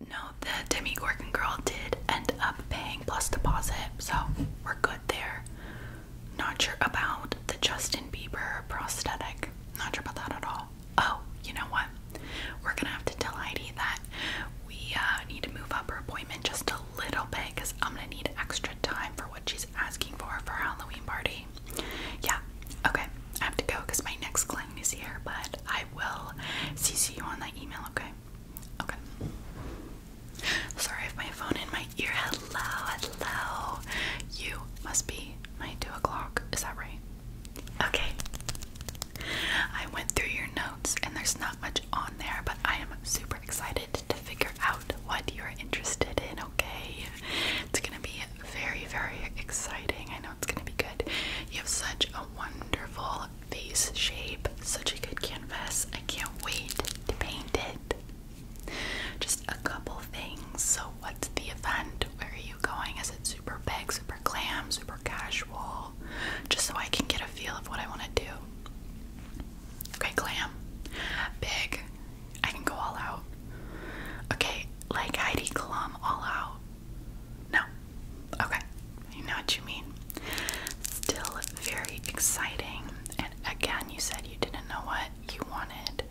No, the Demi Gorgon girl did end up paying plus deposit, so we're good there. Not sure about the Justin Bieber prosthetic. Not sure about that at all. Oh, you know what? We're gonna have to tell Heidi that we uh, need to move up her appointment just a little bit because I'm gonna need extra time for what she's asking for for her Halloween party. Yeah, okay. I have to go because my next client is here, but I. I will CC you on that email, okay? Okay. Sorry if my phone in my ear. Hello, hello. You must be my two o'clock. Is that right? Okay. I went through your notes and there's not much on there, but I am super excited to figure out what you're interested in, okay? It's gonna be very, very exciting. I it's gonna be good. You have such a wonderful face shape, such a good canvas. I can't wait to paint it. Just a couple things. So, what's the event? Where are you going? Is it super big, super glam, super casual? Just so I can get a feel of what I want to do. Okay, glam. Big. I can go all out. Okay, like Heidi Klum, all out. No. Okay. You know what you mean. Still very exciting. And again, you said you didn't know what you wanted.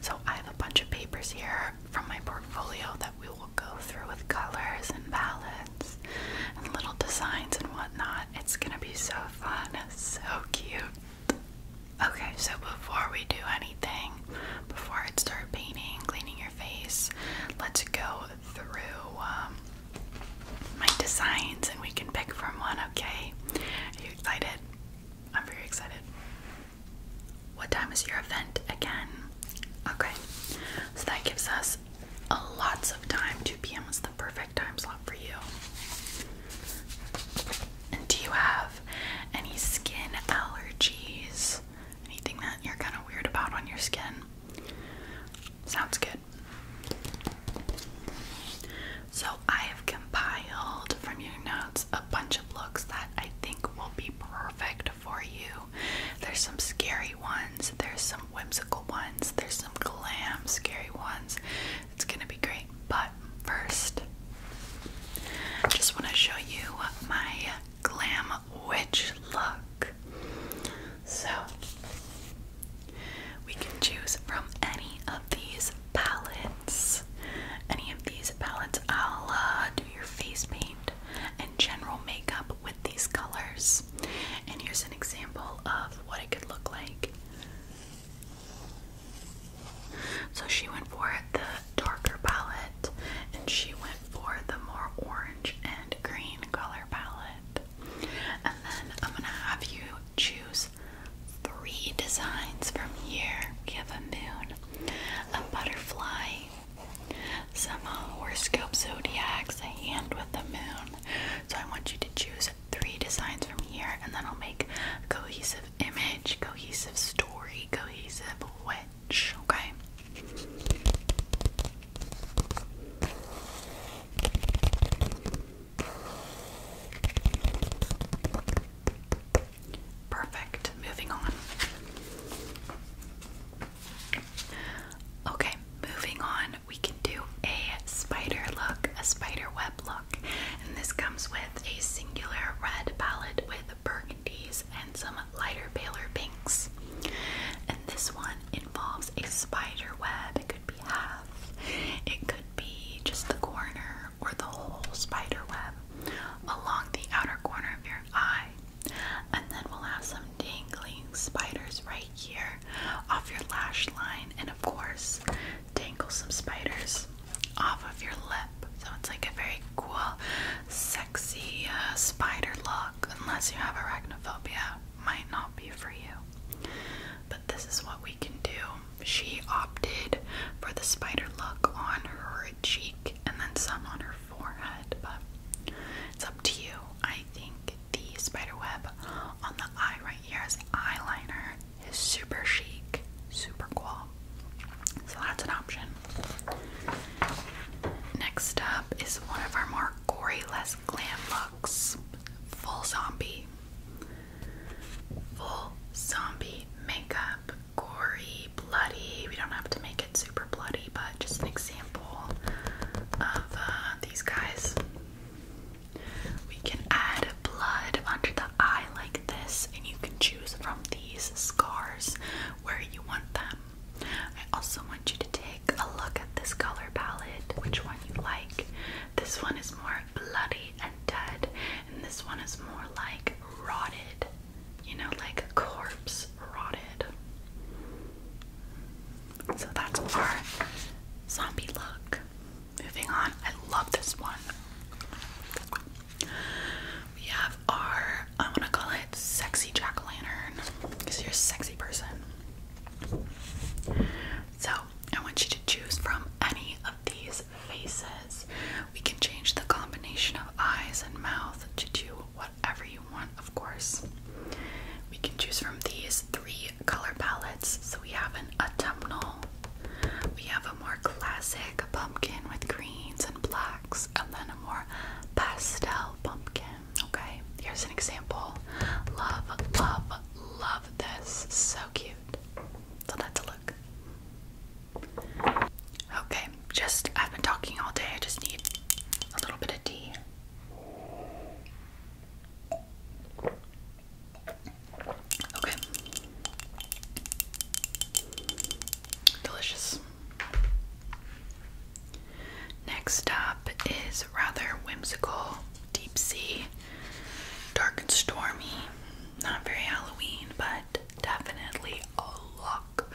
So I have a bunch of papers here from my portfolio that we will go through with colors and palettes and little designs and whatnot. It's gonna be so fun. So cute. Okay, so before we do anything, before I start painting, cleaning your face, let's go through um, my designs and we can pick from one, okay? Are you excited? I'm very excited. What time is your event again? Okay, so that gives us a lots of time. 2 p.m. is the perfect time slot for you. And do you have any skin allergies? Anything that you're kind of weird about on your skin? Sounds good. So, I have compiled from your notes a bunch of looks that I think will be perfect for you. There's some scary ones, there's some whimsical ones, there's some glam scary ones. It's gonna be great. But first, I just want to show you my glam witch look. So we can choose from any of these palettes. Any of these palettes, I'll do your face paint and general makeup with these colors. And here's an example of what it could look like. So she went for the darker palette and she went for the more orange and green color palette. And then I'm gonna have you choose three designs from here. We have a moon, a butterfly, some uh, horoscope zodiacs, and with the moon. So I want you to choose three designs from here, and then I'll make a cohesive image, cohesive story, cohesive okay? Perfect. Moving on. Okay, moving on, we can do a spider look, a spider web look. And this comes with a singular red palette with burgundies and some lighter, paler pinks. And this one involves a spider web. It could be half, it could be just the corner or the whole spider web along the outer corner of your eye. And then we'll have some dangling spiders right here off your lash line, and of course, dangle some spiders off of your lip. So it's like a very cool, sexy uh, spider look, unless you have arachnophobia, might not be for you. But this is what we can do. She opted for the spider look on her cheek and then some on her forehead, but it's up to you. I think the spider web on the eye right here as eyeliner is super chic, super cool. So that's an option. Next up is one of our more gory, less glam looks. Full zombie. Full zombie makeup. Gory, bloody. We don't have to make it super bloody, but just an example of uh, these guys. We can add blood under the eye like this, and you can choose from these scars where you want them. I also want you to take a look at this color palette, which one you like. This one is more bloody and dead, and this one is more like rotted, you know, like a corpse rotted. So that's our zombie look. Moving on, I love this one. We have our, I want to call sexy jack o' lantern because you're a sexy person. So, I want you to choose from any of these faces. We can change the combination of eyes and mouth to do whatever you want, of course. We can choose from these three color palettes. So, we have an autumnal, we have a more classic pumpkin with greens and blacks, and then a more pastel pumpkin. Okay, here's an example. Love, love, love this. So cute. So that's a look. Okay, just I've been talking all day. I just need a little bit of tea. Okay. Delicious. Next up is rather whimsical, deep sea, dark and stormy. Not very Halloween, but definitely a look.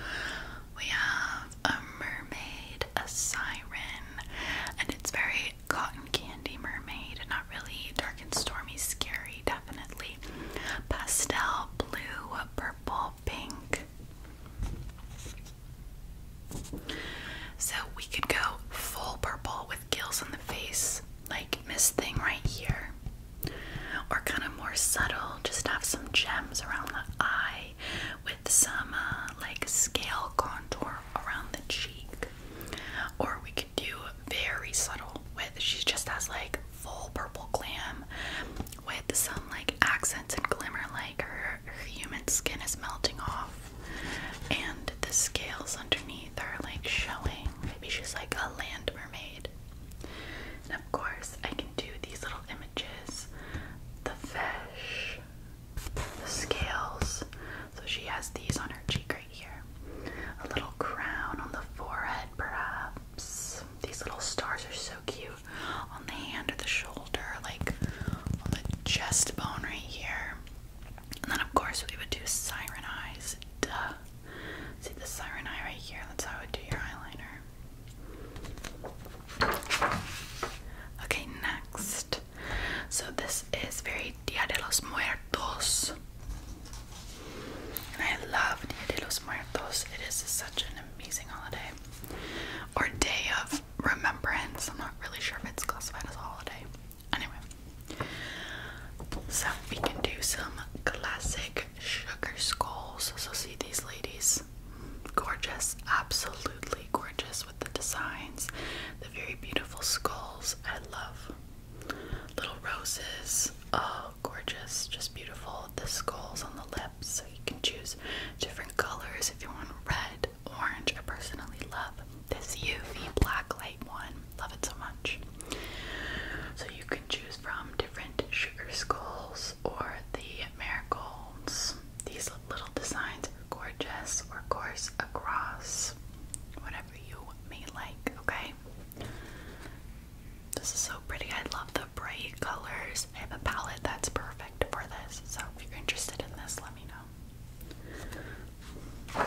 We have a mermaid, a siren, and it's very cotton candy mermaid. Not really dark and stormy, scary, definitely. Pastel blue, purple, pink, so we could go full purple with gills on the face, like Miss Thing right here. Or kind of more subtle, just have some gems around the eye with some uh, like scale contour around the cheek. Or we could do very subtle with, she just has like full purple glam with some like accents and glimmer like her her human skin is melting off and the scales underneath are like showing. Maybe she's like a land mermaid. And of course, I can do these little images the fish, the scales. So she has these on her cheek right here. A little crown on the forehead, perhaps. These little stars are so cute on the hand or the shoulder, like on the chest bone right here. And then, of course, we would do siren eyes. Duh. See the siren eye right here? That's how I would do your eyeliner. Okay, next. So, this is very Dia de los Muertos. And I love Dia de los Muertos. It is such an amazing holiday. Or day of remembrance. I'm not really sure if it's classified as a holiday. Anyway, so we can do some classic sugar skulls. So, see these ladies? Gorgeous, absolutely gorgeous with the designs, the very beautiful skulls. I love little roses. Oh, gorgeous, just beautiful. The skulls on the lips you can choose different colors if you want red, orange. I personally love this UV black light one. Love it so much. So you can choose from different sugar skulls or the marigolds. These little designs are gorgeous, or course across, whatever you may like, okay? This is so pretty. I love them bright colors. I have a palette that's perfect for this. So if you're interested in this, let me know.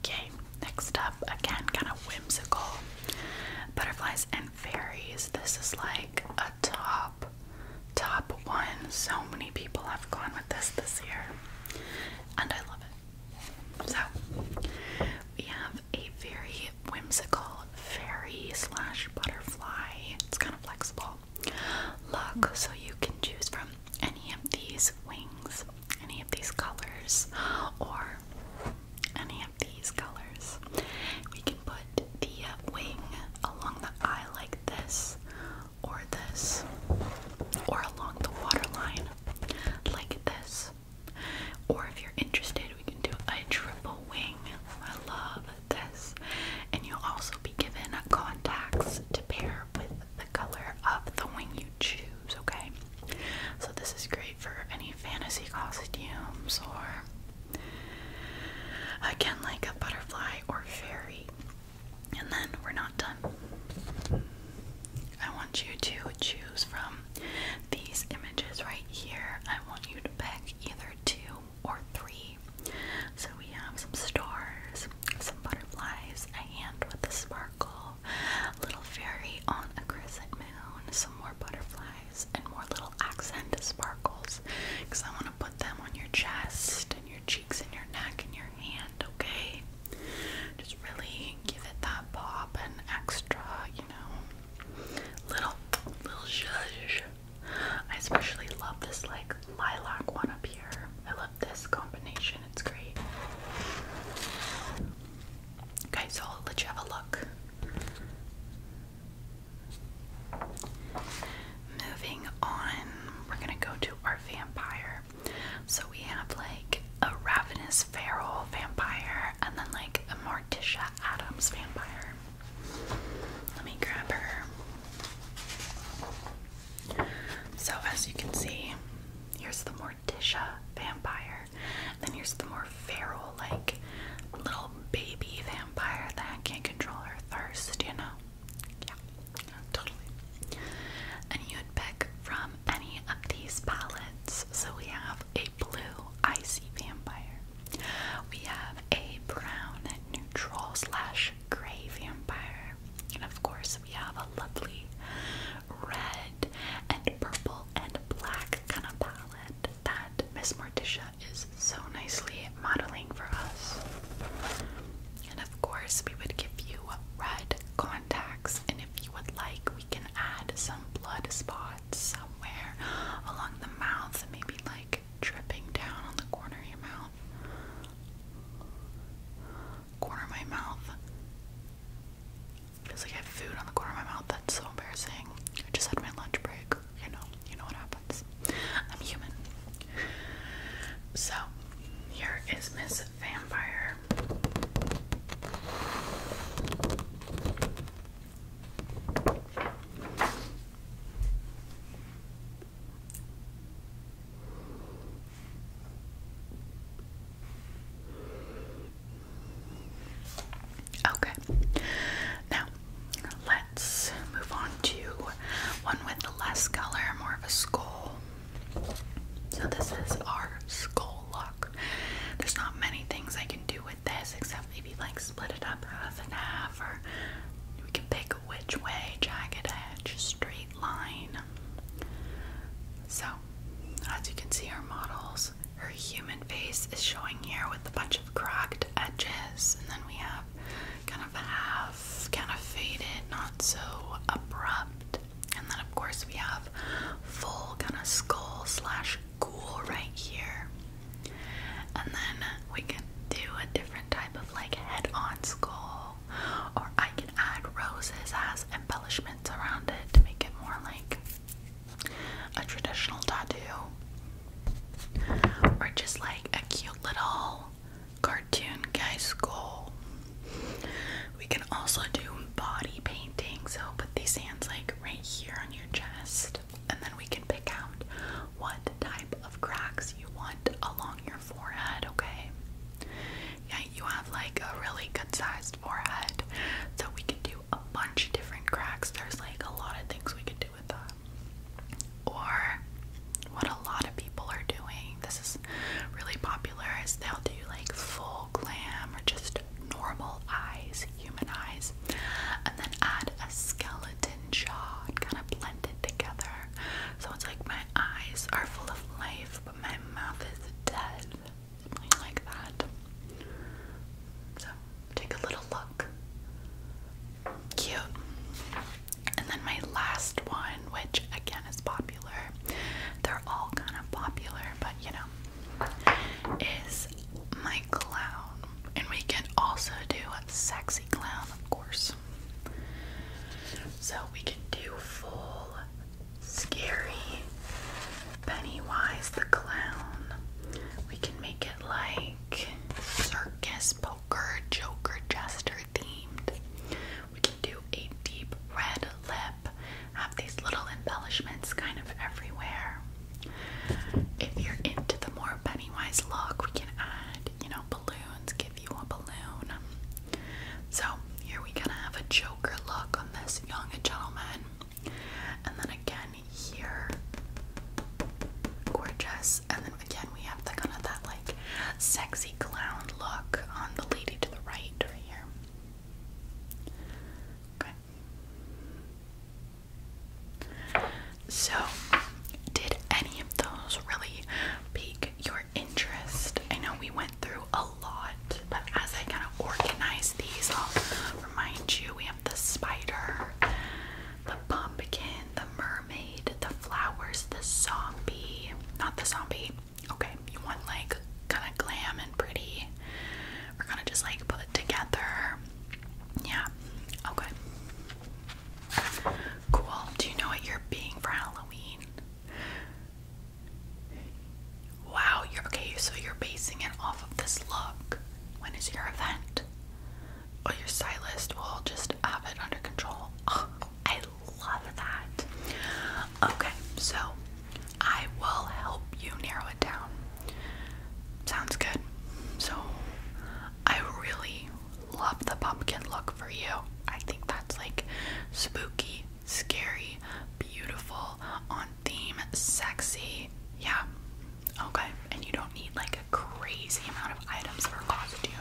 Okay, next up, again, kind of whimsical butterflies and fairies. This is like a top, top one. So many people have gone with this this year, and I love it. So, we have a very whimsical fairy slash butterfly. It's kind of flexible. Look, so you can choose from any of these wings, any of these colors, or any of these colors. We can put the wing along the eye like this, or this, or along the waterline like this. Or if you're interested, we can do a triple wing. I love this, and you'll also be given contacts to pair with the color of the wing you choose, okay? So, this is great for any fantasy costumes or, again, like a butterfly or fairy. And then we're not done. I want you to choose from these images right here. I want you to pick either two or three. So we have some stars, some butterflies, a hand with a sparkle, little fairy on a crescent moon, some more butterflies, and more little accent sparkles. Because I want to put them on your chest and your cheeks and your neck and your hand, okay? Just really give it that pop and extra, you know, little, little zhuzh. I especially love this like lilac one up here. I love this combination. It's great. Okay, so I'll let you have a look. Moving on, we're gonna go to our vampire. So we have like a ravenous feral vampire and then like a Morticia Adams vampire. Let me grab her. So, as you can see, here's the more Morticia vampire. Then here's the more feral, like little baby vampire that can't control her thirst, you know? Yeah, totally. And you'd pick from any of these palettes. So, we have a blue icy vampire, we have a brown and neutral slash gray vampire. And of course, we have a lovely red and purple and black kind of palette that Miss Morticia is so nicely modeling for us. And of course, we would give you red contacts, and if you would like, we can add some blood spots somewhere along the mouth, maybe like dripping down on the corner of your mouth. Corner of my mouth. Feels like I have food on the corner of my mouth. That's so embarrassing. I just had my lunch break. You know, you know what happens. I'm human. So, here is Miss Vampire. Okay, now let's move on to one with less color, more of a skull. So, this is our skull look. There's not many things I can do with this, except maybe like split it up half and half, or we can pick which way, jagged edge, straight line. So, as you can see, our models, her human face is showing here with a bunch of cracked edges, and then we have kind of half, kind of faded, not so abrupt. And then, of course, we have full kind of skull slash ghoul right here. And then we can do a different type of like head on skull, or I can add roses as embellishments around it to make it more like a traditional tattoo, or just like a cute little cartoon guy skull. We can also do body painting, so put these hands like right here on your chest and then we can pick out what type of cracks you want along your forehead, okay? Yeah, you have like a really good sized forehead, so we can do a bunch of different cracks. There's like a lot of things we can do with that. Or what a lot of people are doing, this is really popular, is they'll do like full glam or just normal eyes, human eyes, and then add a skeleton and kind of blended together. So it's like my eyes are full of life, but my mouth is dead. like that. So take a little look. Cute. And then my last one, which again is popular. They're all kind of popular, but you know, is my clown. And we can also do Sexy Clown, of course. So we can do full scary Pennywise the Clown. We can make it like circus, poker, joker, jester themed. We can do a deep red lip, have these little embellishments kind of everywhere. If you're into the more penny Pennywise look. We can add, you know, balloons, give you a balloon. So here we gonna have a Joker look on this young gentleman. And then again here, gorgeous. And then again we have the kind of that like sexy clown look on the lady to the right right here. Okay. So, did any of those really pique your interest? I know we went through a lot, but as I kind of organize these, I'll remind you we have the spider, the pumpkin, the mermaid, the flowers, the zombie. Not the zombie. Okay, you want like kind of glam and pretty. We're gonna just like put it together. Yeah, okay. Cool. Do you know what you're being for Halloween? Wow, you're okay, so you're basing it off of this look. When is your event? Oh, your stylist will just have it under control. Oh, I love that. Okay, so I will help you narrow it down. Sounds good. So I really, love the pumpkin look for you. I think that's like spooky, scary, beautiful, on theme, sexy. Yeah. Okay. And you don't need like a crazy amount of items for a costume.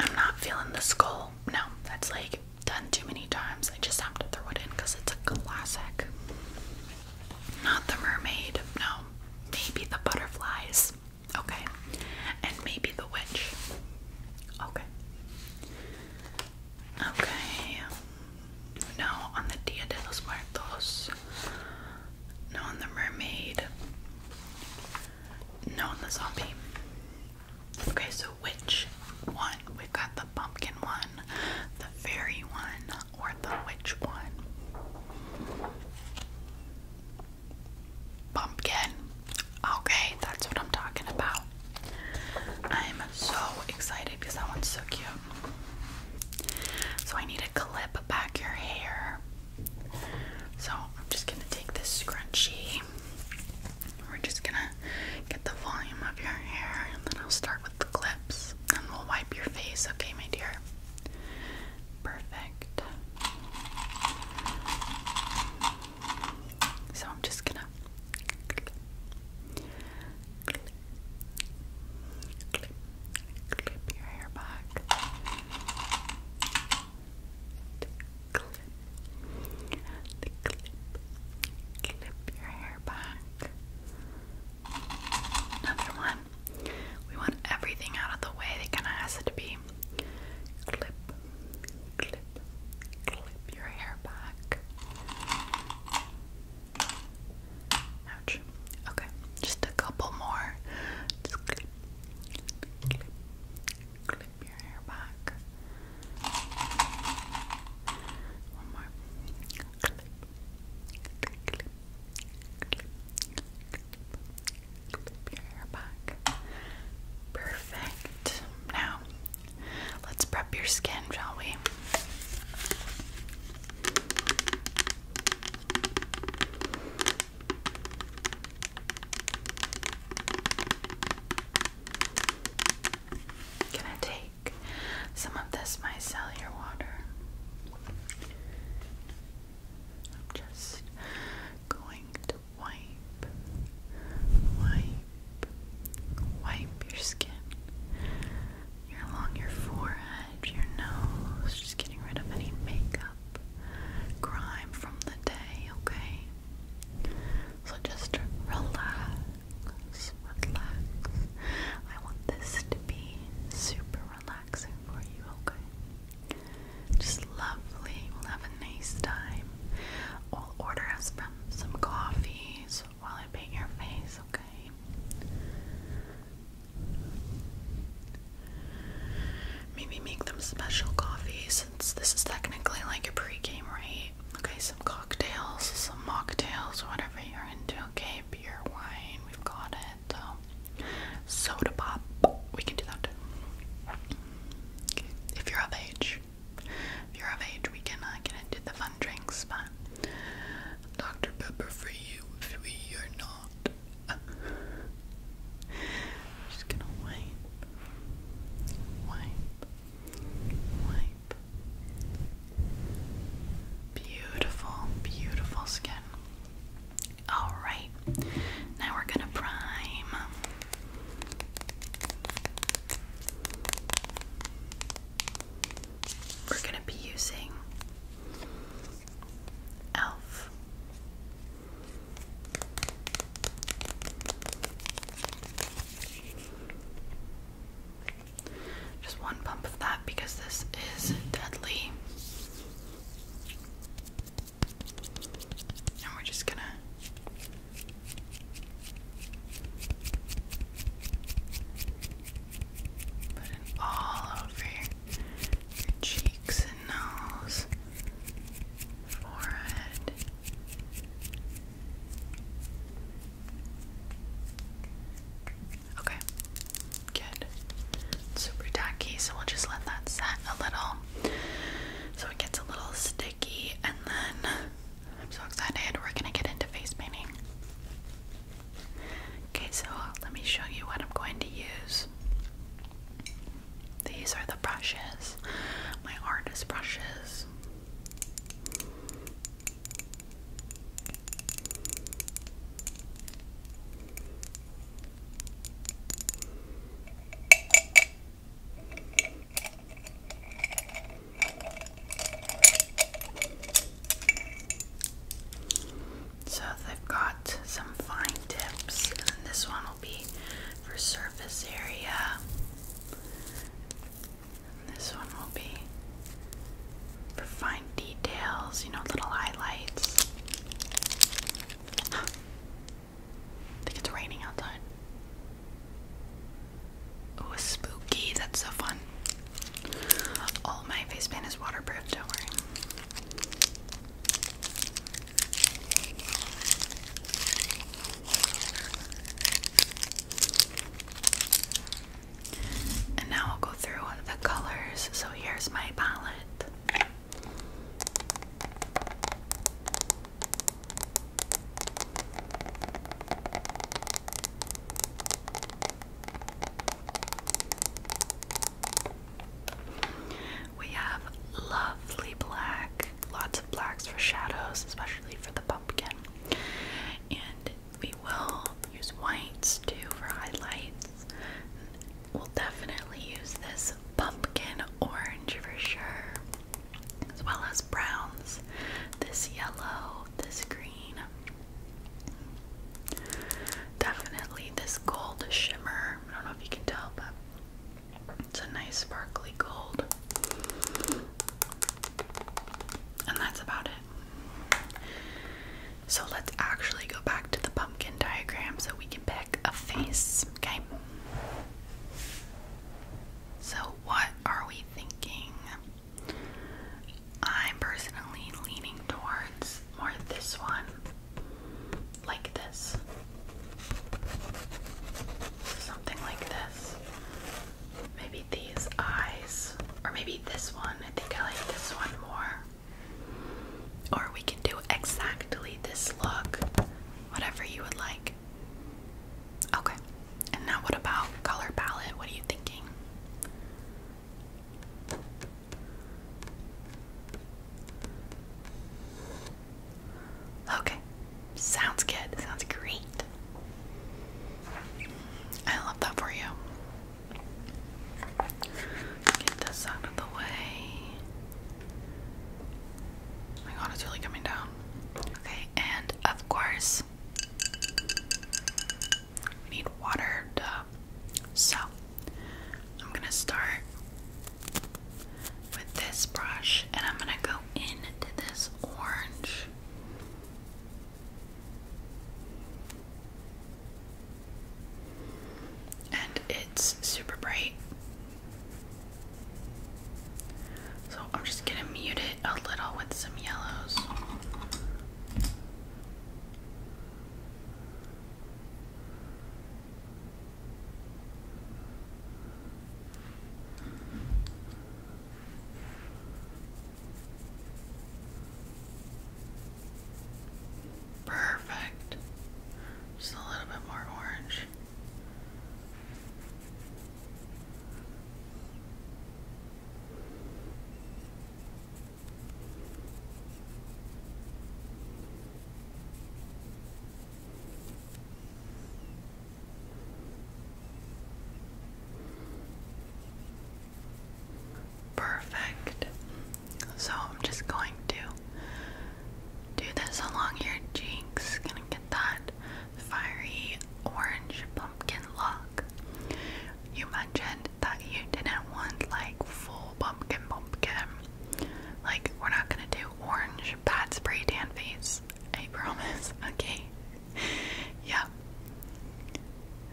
I'm not feeling the skull. No, that's like done too many times. I just have to throw it in because it's a classic. Not the mermaid. No, um, maybe the butterflies, okay, and maybe the witch, okay, okay. No on the Dia de los Muertos, no on the mermaid, no on the zombie. Okay, so which one? We've got the pumpkin one, the fairy one, or the witch one? Pumpkin. Okay, that's what I'm talking about. I'm so excited because that one's so cute. So I need to clip back your hair. So I'm just gonna take this scrunchie. We're just gonna get the volume of your hair and then I'll start with the clips and we'll wipe your face, okay, my dear? Perfect. So I'm just gonna clip, clip, your hair back. Clip, clip, clip your hair back. Another one. We want everything out of the way. It kind of has to be clip, clip, clip your hair back. Ouch. Okay, just a couple more. clip, clip, clip your hair back. One more. clip, clip, clip, Perfect. Now, let's prep your skin, shall we? Can I take some of this micellar water? I'm just going to wipe, wipe, wipe your skin. you along your forehead, your nose, just getting rid of any makeup, grime from the day, okay? So just relax, relax. I want this to be super relaxed. Just lovely. We'll have a nice time. I'll order us from some coffees while I paint your face, okay? Maybe make them special coffees since this is technically like a pregame, right? Okay, some cocktails, some mocktails, whatever you're into, okay? Beer, wine, we've got and um, soda pop. We can do that. Okay. If you're of age, if you're of age, we can uh, get into the fun drinks. But Dr Pepper for you, if we are not. just gonna wipe, wipe, wipe. Beautiful, beautiful skin. Alright, now we're gonna prime. We're gonna be using ELF. Just one pump of that because this is deadly. Now we're just gonna put it all over your cheeks and nose, forehead. Okay, good. super tacky, so we'll just let that set a little so it gets a little sticky. And then I'm so excited, we're gonna get into face painting. Okay, so let me show you what I'm going to use. These are the brushes, my artist brushes. So they've got some fine tips, and then this one will be for surface area. And this one will be for fine details, you know, little highlights. I think it's raining outside. Ooh, spooky. That's so fun. All my face paint is waterproof, don't worry. And now I'll go through the colors. So here's my palette. We have lovely black, lots of blacks for shadows, especially for the pumpkin. And we will use whites too for highlights. We'll definitely use this pumpkin orange for sure, as well as browns, this yellow, this green. Definitely this gold shimmer. I don't know if you can tell, but it's a nice sparkly gold. And that's about it. So let's actually go back to the pumpkin diagram so we can pick a face, okay? So, what are we thinking? I'm personally leaning towards more this one, like this. Something like this. Maybe these eyes, or maybe this one. I think I like this one more. Or we can do exactly this look, whatever you would like. Okay, and now what about color palette? What are you thinking? Okay, sounds good, sounds great. I love that for you. Get this out of the way. my god, it's really coming down. Okay, and of course, we need water. Duh. So, I'm gonna start with this brush and I'm gonna go into this orange and it's super bright. So I'm just going to mute it a little with some yellows. Perfect. Just a little bit more orange. Perfect. So I'm just going to do this along your cheeks. Gonna get that fiery orange pumpkin look. You mentioned that you didn't want like full pumpkin pumpkin. Like we're not gonna do orange pad spray tan face. I promise. Okay. yeah.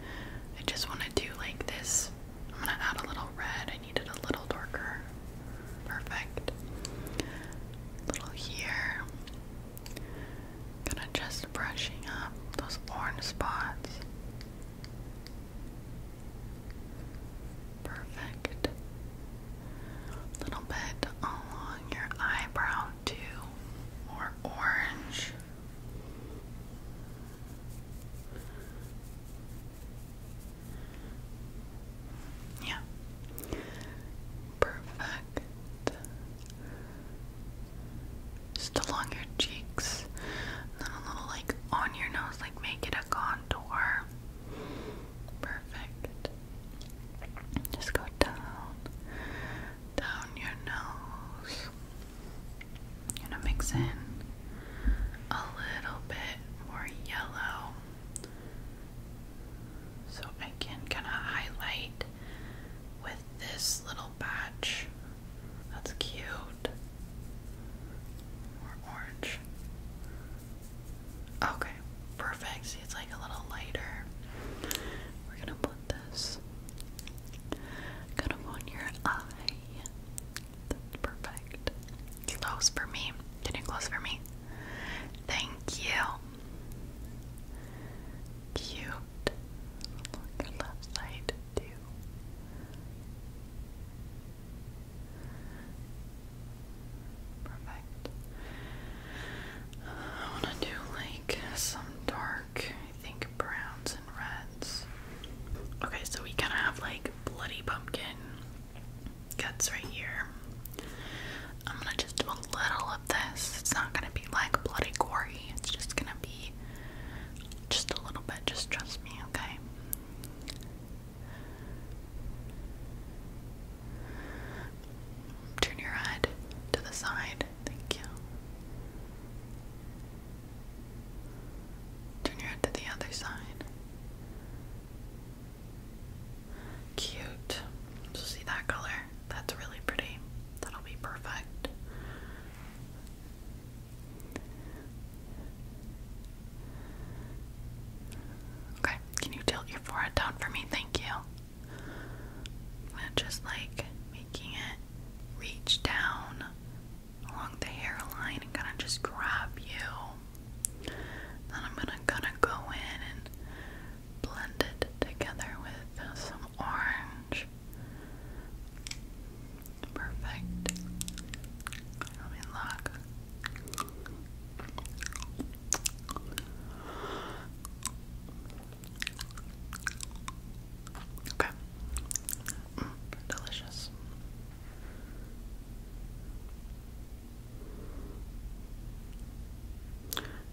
I just wanna do like this I'm gonna add a little red. I need it a little darker. Perfect. little here. Gonna just brushing up those orange spots. Perfect. Little bit along your eyebrow too. More orange. Yeah. Perfect. Just along your cheeks. then a little like on your nose, like make it a contour. Perfect. Just go down, down your nose gonna mix in a little bit more yellow so I can kind of highlight with this little patch. That's cute. More orange. Okay, perfect. See, it's like a little lighter. We're gonna put this kind of on your eye perfect. Close for me. Can you close for me? Thank you. Cute. Look left side too. Perfect. I want to do like some dark, I think browns Okay, so we kind of have like bloody pumpkin guts right here. I'm gonna just do a little of this. It's not gonna be like bloody gory. It's just gonna be just a little bit. Just trust me, okay? Turn your head to the side. Thank you. Turn your head to the other side. Cute. see that color? That's really pretty. That'll be perfect. Okay, can you tilt your forehead down for me? Thank you. just like making it reach down along the hairline and kind of just grab you. Then I'm gonna kind of go in and blend it together with some orange. Perfect. Let me Okay. Mm, delicious.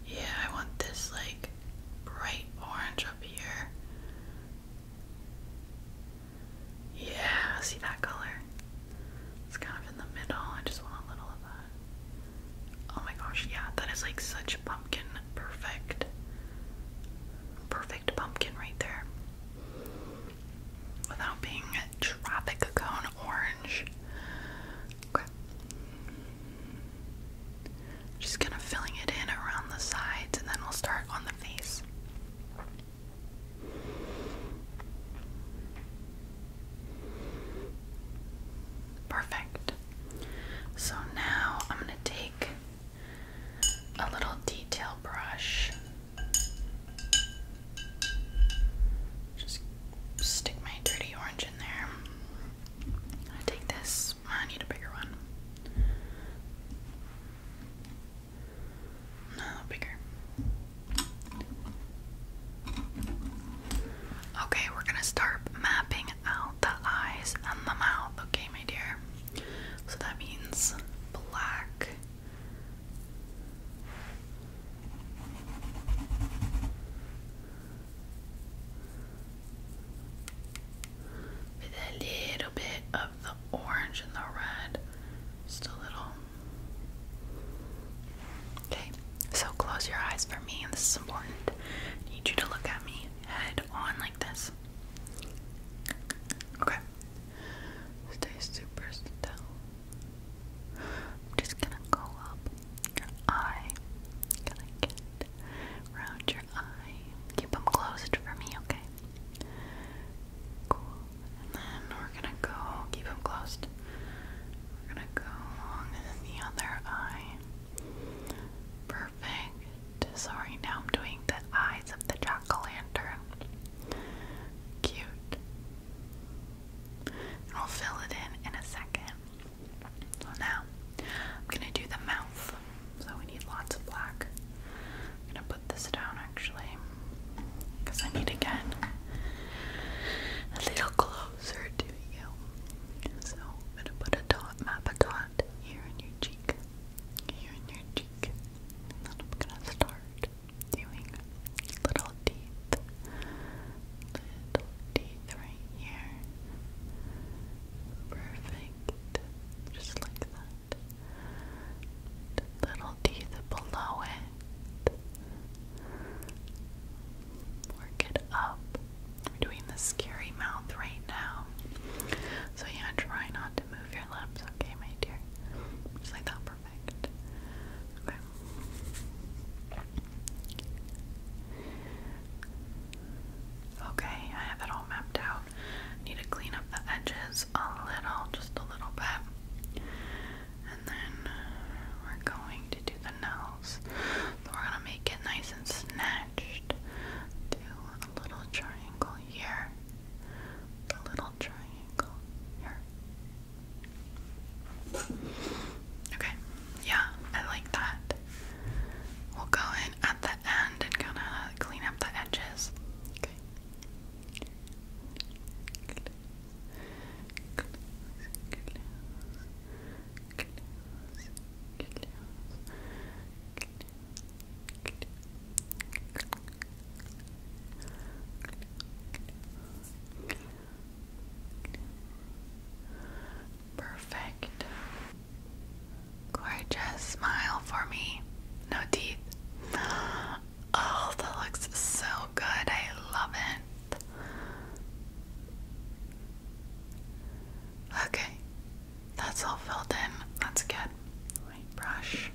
Yeah, I want this like bright orange up here. Yeah, see that color? It's kind of in the middle. I just want a little of that. Oh my gosh, yeah, that is like such pumpkin perfect. Perfect pumpkin right there without being traffic cone orange. Just kind of filling it in around the sides and then we'll start on the face. Perfect. So now I'm going to take a little detail brush. Just stick my dirty orange in there. I take this. Ah, I need a bigger one. No, bigger. Okay, we're gonna start mapping out the eyes and the mouth, okay, my dear? So that means black. With a little bit of the orange and the red. Just a little. Okay, so close your eyes for me, and this is important. I need you to look at me head on like this. Okay, Stay super still. just gonna go up your eye. Gonna get around your eye. Keep them closed for me, okay? Cool. And then we're gonna go, keep them closed. We're gonna go along the other eye. Perfect. Sorry, now I'm doing the eyes of the jack Cute. I'll fill it in in a second. now, I'm gonna do the mouth. So we need lots of black. I'm gonna put this down actually, because I need to get a little closer to you. So I'm gonna put a dot, map a dot here in your cheek, here in your cheek, then I'm gonna start doing little teeth. Little teeth right here. Perfect. Just like that. little teeth below it. Work it up. We're doing the scary mouth right now. So yeah, try not to move your lips okay, my dear. Just like that, perfect. Okay. I have it all mapped out. Need to clean up the edges a little, just a little bit. And then we're going to do the nose. we're gonna make it nice and snatched. Do a little triangle here the little triangle here. Okay, yeah, I like that. We'll go in at the end and kind of clean up the edges. Okay. Perfect. Gorgeous. Smile for me. No teeth. Oh, that looks so good. I love it. Okay, that's all filled in. That's good my brush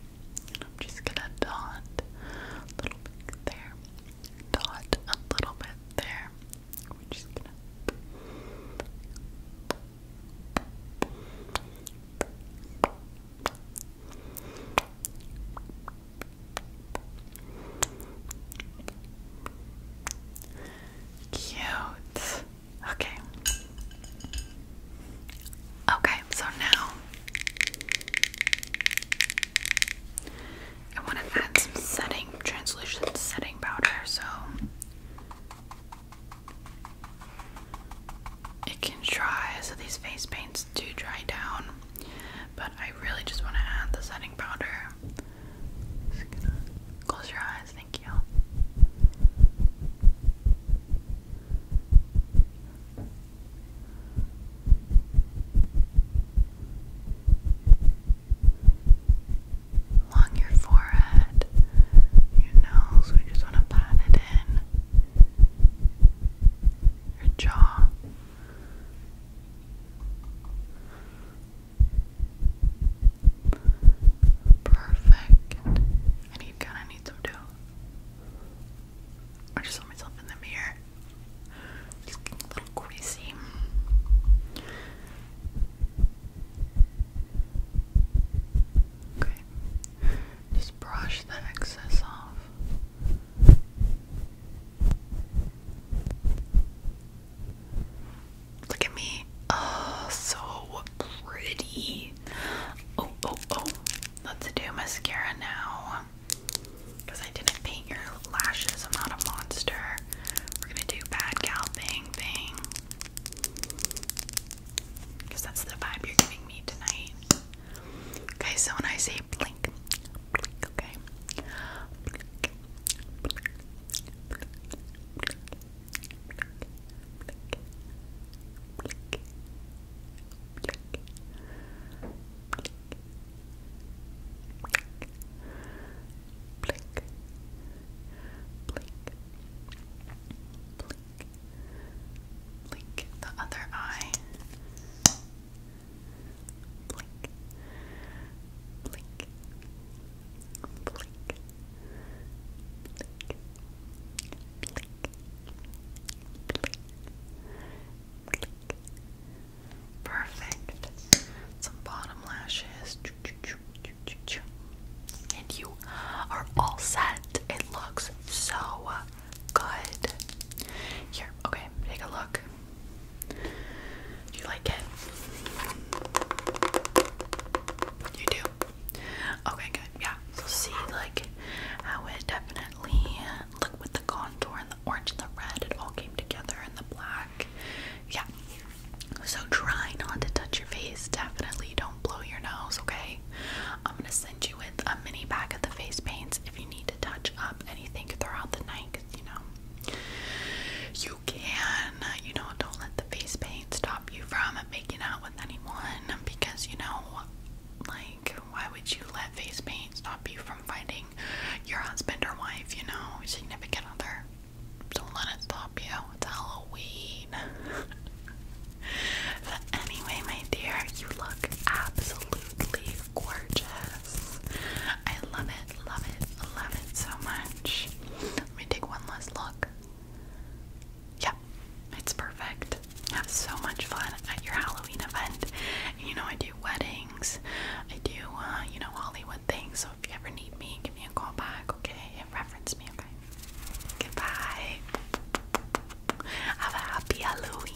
and I'm just gonna dot a little bit there, dot a little bit there. We're just gonna Cute. Okay. Okay, so now I want to add some setting, translucent setting powder so it can dry, so these face paints do dry down. But I really just want to add the setting powder. close your eyes, thank you. Along your forehead, your nose, we just want to pat it in. Your jaw. Perfect. And you kind of need some dough. I just saw myself in the mirror. Just getting a little greasy. Okay. Just brush the excess off. Look at me. Oh, so pretty. Oh, oh, oh. Let's do mascara now. Because I didn't paint your lashes, I'm not a monster. We're gonna do bad gal bang bang. Because that's the vibe you're giving me tonight. Okay, so when I say blink, okay blink the other eye blink blink blink blink Perfect. Some bottom lashes. And you are all set. It looks so good. Here, okay, take a look. you like it? You do? Okay, good. Yeah. So see like how it definitely look with the contour and the orange and the red, it all came together and the black. Yeah. So try not to touch your face. Definitely don't blow your nose, okay? I'm gonna send you with a mini pack of the face paints if you need to touch up anything throughout the night, you know you can, you know, don't let the face paint stop you from making out with anyone because you know like, why would you let face paint stop you from finding your husband or wife, you know, significant other? Don't let it stop you. It's Halloween. but anyway, my dear, you look absolutely gorgeous. I love it, love it, love it so much. Let me take one last look. Yeah, it's perfect. Have so much fun at your Halloween event. you know, I do weddings, I do, uh, you know, Hollywood things. So if you ever need me, give me a call back, okay? And reference me, okay? Goodbye. Have a happy Halloween.